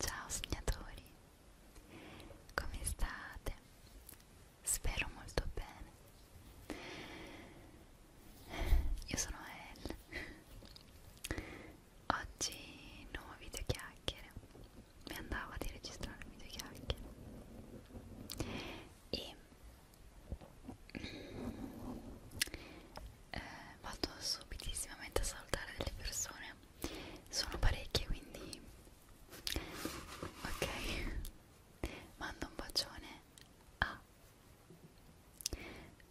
Ciao sognatori, come state? Spero molto bene. Io sono Elle. Oggi nuovo video chiacchiere mi andava di registrarmi due chiacchiere e eh, vado subitissimamente a salutare delle persone sono parecchie quindi ok mando un bacione a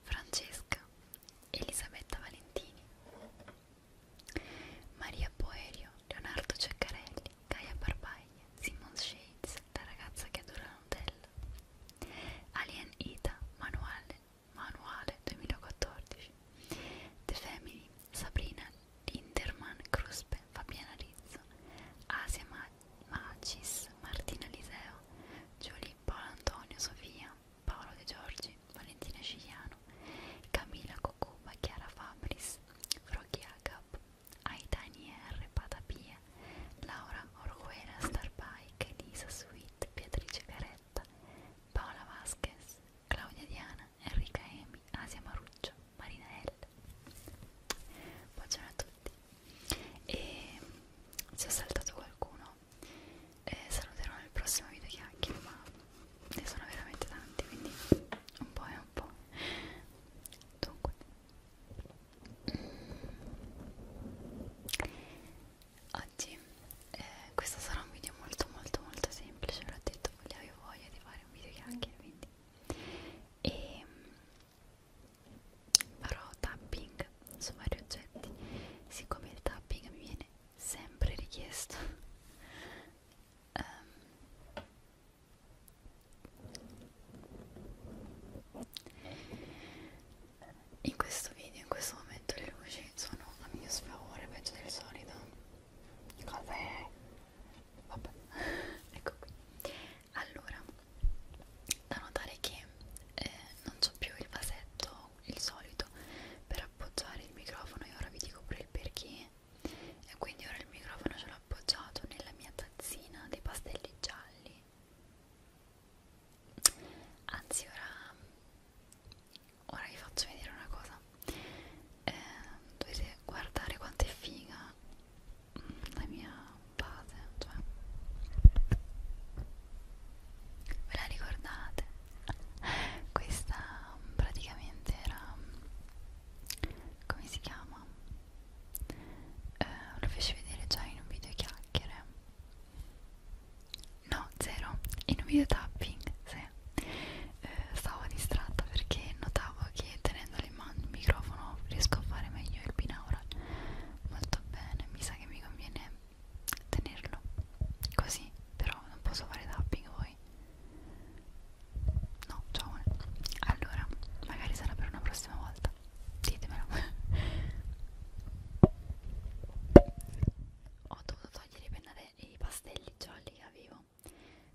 Francesca Elisabetta Valentini Maria Poerio, Leonardo Ceccarelli, Gaia Barbaglia, Simon Shades, la ragazza che adora la Nutella, Alien Ida, Manuale, Manuale 2014, The Family, Sabrina Linderman, Cruspe, Fabiana Rizzo, Asia Macis, Martina Liseo, Giulia Paolo Antonio, Sofia, Paolo De Giorgi, Valentina Scigliano, Camilla Kokuma, Chiara Fabris, Froggy Agap, Aitani R, Patapia, Laura Orguera, Starbike, Elisa Sweet, Beatrice Caretta, Paola Vasquez, Claudia Diana, Enrica Emi, Asia Maruccio, Marina L. Buongiorno a tutti. E se ho saltato qualcuno, eh, saluterò nel prossimo video chiacchiere, ma ne sono veramente tanti quindi un po' e un po' dunque oggi eh, questo sarà un video molto molto molto semplice l'ho detto che avevo voglia di fare un video chiacchiere quindi e ehm, farò tapping su vari oggetti siccome il tapping mi viene sempre richiesto Um, in questo video, in questo momento, le luci sono a mio sfavore, peggio del solito. Cosa è? Vabbè, ecco qui. Allora, da notare che eh, non c'ho più il vasetto, il solito, per appoggiare il microfono e ora vi dico pure il perché e quindi ora il microfono ce l'ho appoggiato nella mia tazzina dei pastelli gialli anzi ora ora vi faccio vedere una cosa eh, dovete guardare quanto è figa la mia base cioè ve la ricordate questa praticamente era come si chiama? Eh, lo feci vedere già in un video chiacchiere no, zero in un video tapping sì. eh, stavo distratta perché notavo che tenendolo in mano il microfono riesco a fare meglio il binaural molto bene, mi sa che mi conviene tenerlo così però non posso fare tapping voi No, ciao Allora, magari sarà per una prossima volta Ditemelo Ho dovuto togliere i, pennare, i pastelli gialli che avevo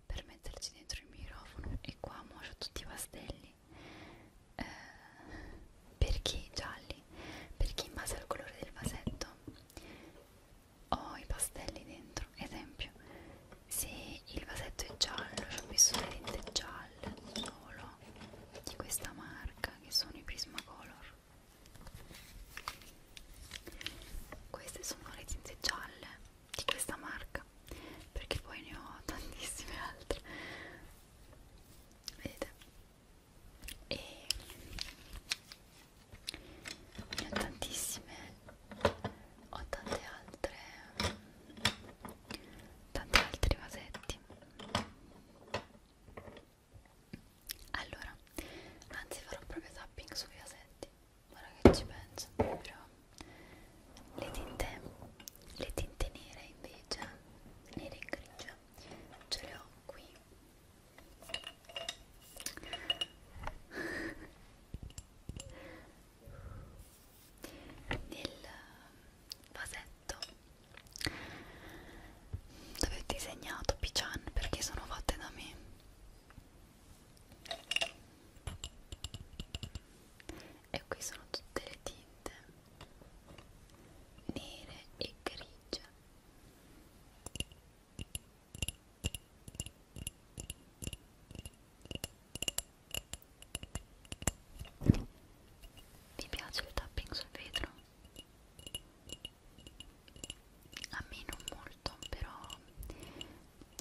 Per metterci dentro il microfono E qua mo ho tutti i pastelli eh, Perché gialli? Perché in base al colore del vasetto ho i pastelli dentro esempio se il vasetto è giallo ci ho messo le tinte gialle solo di questa marca che sono i Prismacolor queste sono le tinte gialle di questa marca perché poi ne ho tantissime altre vedete e ne ho tantissime ho tante altre tanti altri vasetti allora anzi farò proprio tapping sui vasetti ora che ci penso però le tinte le tinte nere invece nere e grigia ce le ho qui nel um, vasetto dove ho disegnato Pichan perché sono fatte da me e qui sono tutte le tinte nere e grigie vi piace il tapping sul vetro? A me non molto, però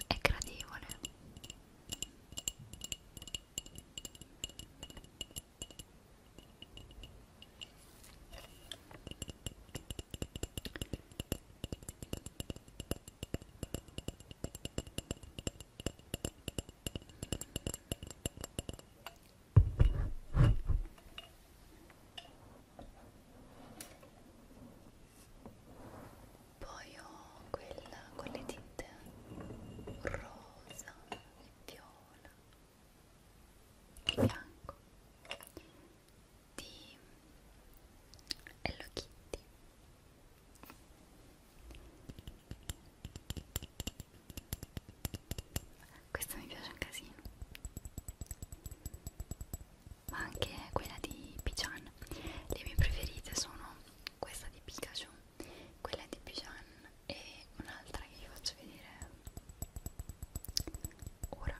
è gradevole. Poi ho quella con le tinte rosa e viola il fianco di Hello Kitty questa mi piace un casino ma anche quella di Pijan le mie preferite sono questa di Pikachu quella di Pijan e un'altra che vi faccio vedere ora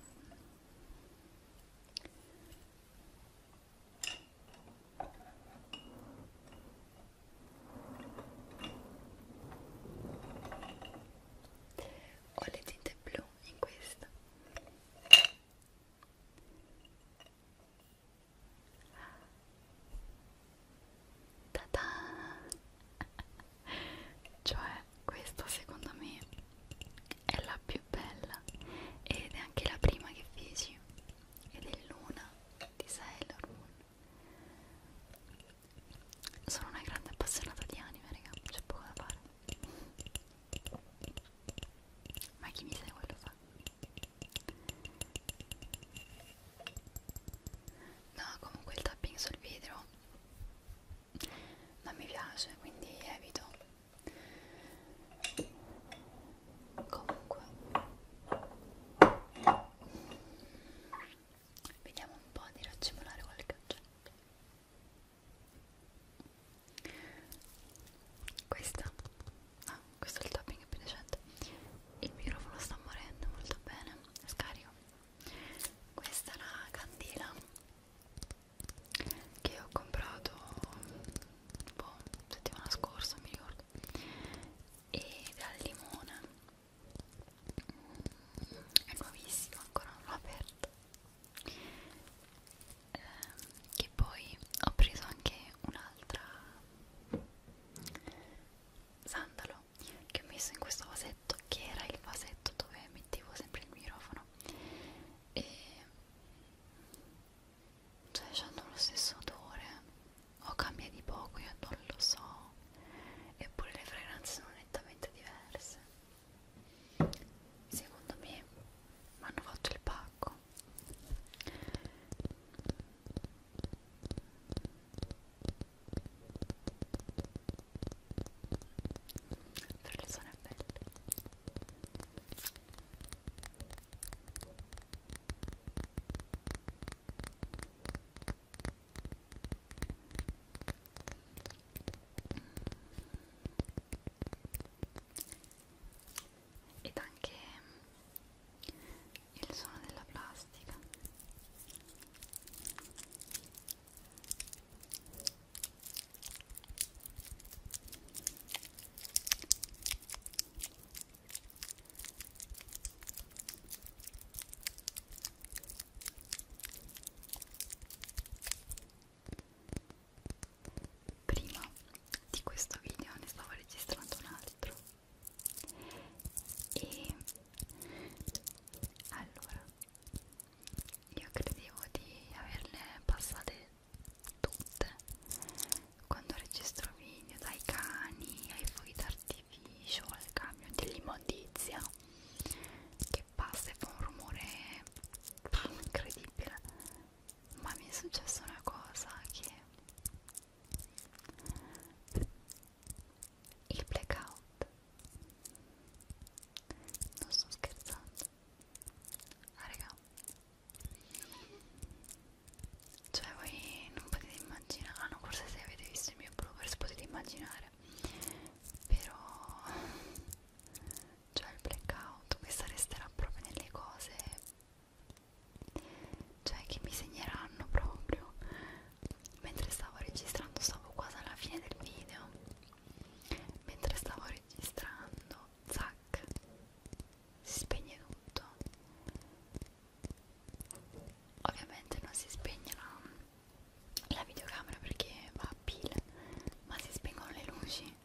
ho le tinte blu in questa. Ta-da! cioè questa secondo me è la più bella ed è anche la prima che feci ed è Luna di Sailor Moon sono una grande appassionata di anime raga, c'è poco da fare ma chi mi segue lo fa no comunque il tapping sul video non mi piace quindi evito comunque vediamo un po' di raccimolare qualche oggetto questa ah, questo è il topping più decente il microfono sta morendo molto bene scarico questa è una candela che ho comprato boh, settimana scorsa mi ricordo ed è al limone è nuovissima ancora non l'ho aperta eh, che poi ho preso anche un'altra sandalo che ho messo in questo vasetto che era il vasetto dove mettevo sempre il microfono e cioè hanno lo stesso odore o cambia di poco io non lo so eppure le fragranze sono nettamente diverse secondo me mi hanno fatto il pacco per le zone belle ed anche il suono della plastica Prima di questo video ne stavo registrando un altro e allora io credevo di averle passate tutte quando registro video, dai cani ai fuochi d'artificio, al camion dell'immondizia che passa e fa un rumore incredibile. Ma mi è successa una cosa che il blackout non sto scherzando ah raga cioè voi non potete immaginare ah no forse se avete visto il mio bloopers potete immaginare però cioè il blackout questa resterà proprio nelle cose cioè che mi segneranno proprio mentre stavo registrando stavo quasi alla fine del video mentre stavo registrando zac si spegne tutto ovviamente non si spegne la, la videocamera perché va a pile ma si spengono le luci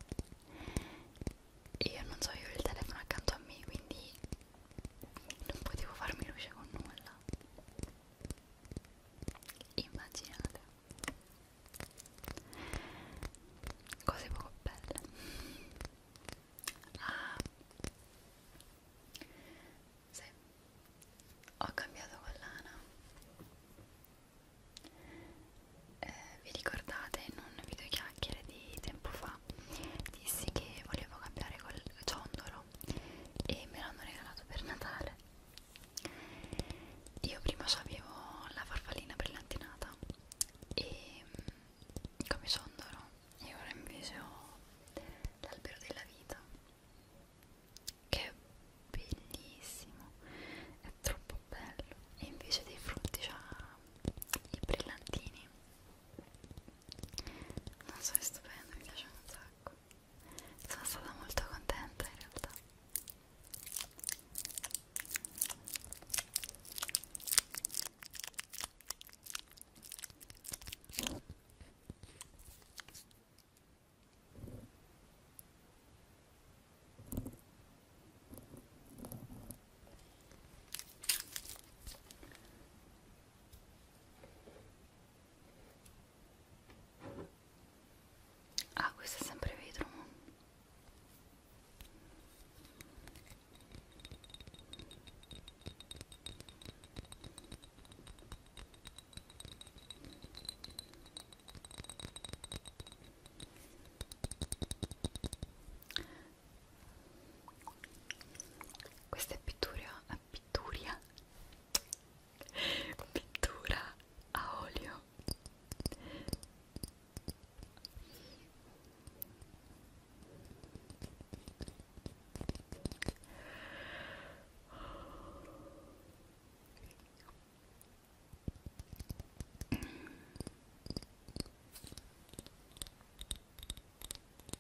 io non so io ho il telefono accanto a me quindi non potevo farmi luce con nulla immaginate cose poco belle ah sì ho cambiato collana eh, vi ricordate in un video chiacchiere di tempo fa dissi che volevo cambiare col ciondolo e me l'hanno regalato per Natale io prima so avevo la farfallina brillantinata e mm, come sondolo e ora invece ho l'albero della vita che è bellissimo è troppo bello e invece dei frutti ha i brillantini non so è stupendo mi piace un sacco sono stata molto contenta in realtà ah questo è sempre vetro questa è pittura, è pitturia pittura a olio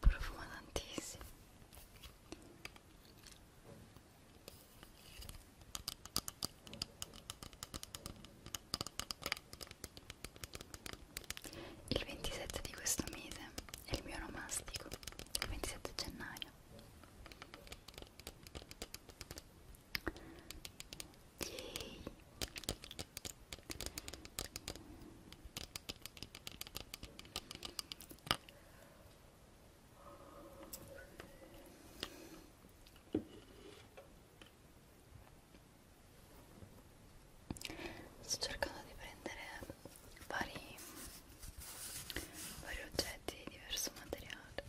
profuma tantissimo il 27 di questo mese è il mio romastico il 27 gennaio Yay. Sto cercando di prendere vari, vari oggetti di diverso materiale.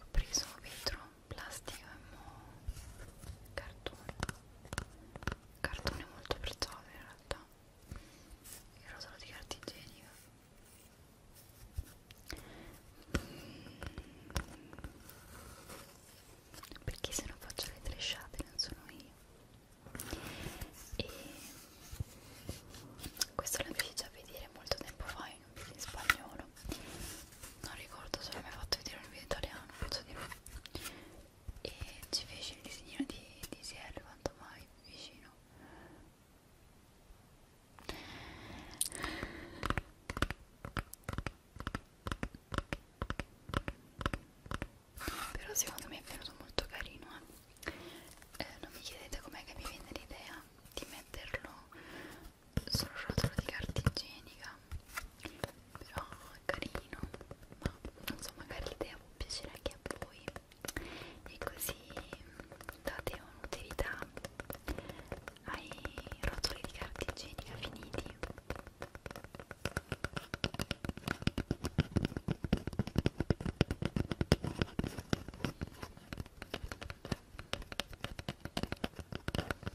Ho preso vetro, plastica e cartone cartone molto prezioso in realtà il rosolo di carta igienica mm. perché se non faccio le tresciate non sono io e questo l'ho già vedere molto tempo fa in un video in spagnolo non ricordo se l'ho mai fatto vedere in un video italiano penso di no e ci fece il disegnino di, di Sierra quanto mai vicino però secondo me è venuto molto carino eh. Eh, non mi chiedete com'è che mi viene l'idea di metterlo sul rotolo di carta igienica però carino ma non so magari l'idea può piacere anche a voi e così mm, date un'utilità ai rotoli di carta igienica finiti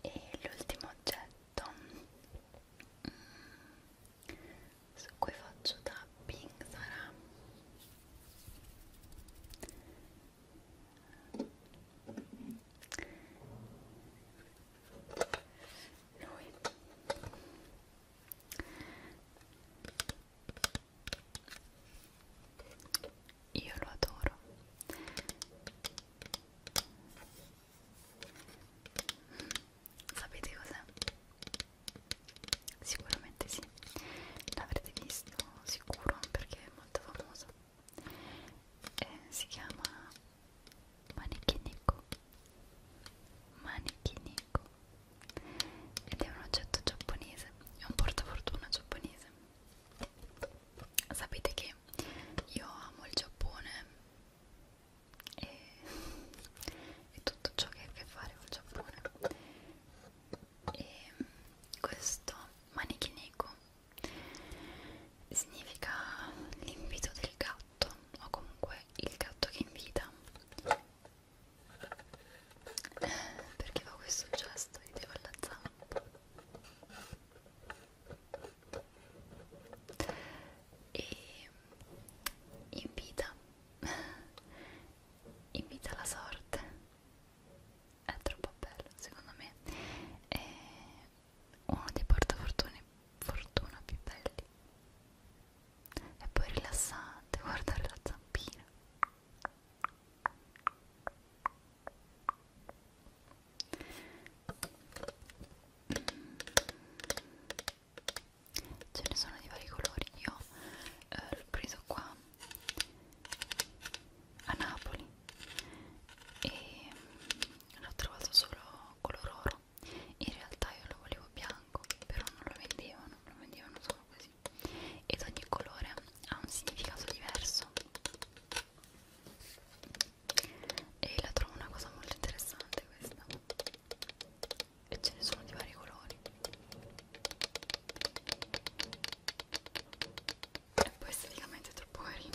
E l'ultimo oggetto su cui faccio tapping sarà lui io lo adoro Sapete cos'è? Sicuramente sì, l'avrete visto sicuro perché è molto famoso. E eh, si chiama manichinico. Manichinico. Ed è un oggetto giapponese, è un portafortuna giapponese. Sapete che io amo il Giappone e, e tutto ciò che ha a che fare col Giappone e questo manichineko significa l'invito del gatto o comunque il gatto che invita eh, perché fa questo gesto e devo alla zampa e invita invita la sorte è troppo bello secondo me è uno dei portafortune fortuna più belli e poi rilassante guardare la zampina ce ne sono di vari colori io eh, l'ho preso qua a Napoli e l'ho trovato solo color oro in realtà io lo volevo bianco però non lo vendevano lo vendevano solo così ed ogni colore ha un significato diverso e la trovo una cosa molto interessante questa e ce ne sono di vari colori e poi esteticamente è troppo carino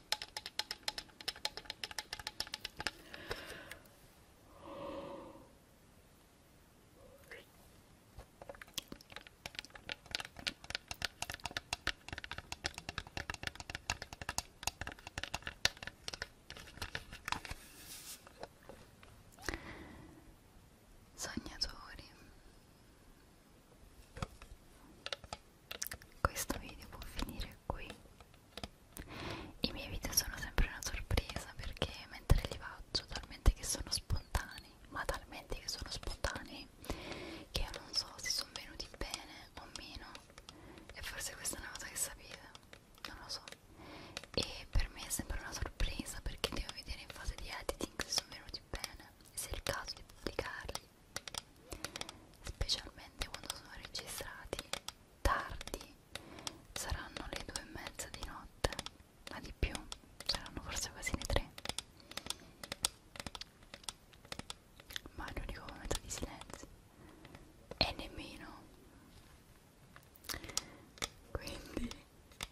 Sognatori questo video può finire qui i miei video sono sempre una sorpresa perché mentre li faccio talmente che sono spontanei ma talmente che sono spontanei che io non so se sono venuti bene o meno e forse questa è una cosa che sapete non lo so e per me è sempre una sorpresa perché devo vedere in fase di editing se sono venuti bene se è il caso di pubblicarli specialmente quando sono registrati tardi saranno le due e mezza di notte ma di più saranno forse quasi le tre ma è l'unico momento di silenzio e nemmeno quindi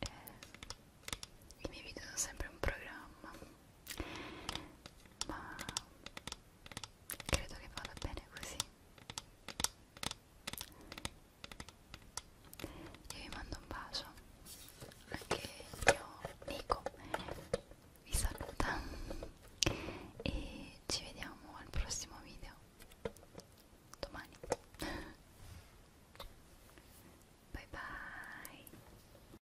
eh, i miei video sono sempre un programma ma credo che vada bene così io vi mando un bacio anche il mio Nico vi saluta e ci vediamo al prossimo video domani bye bye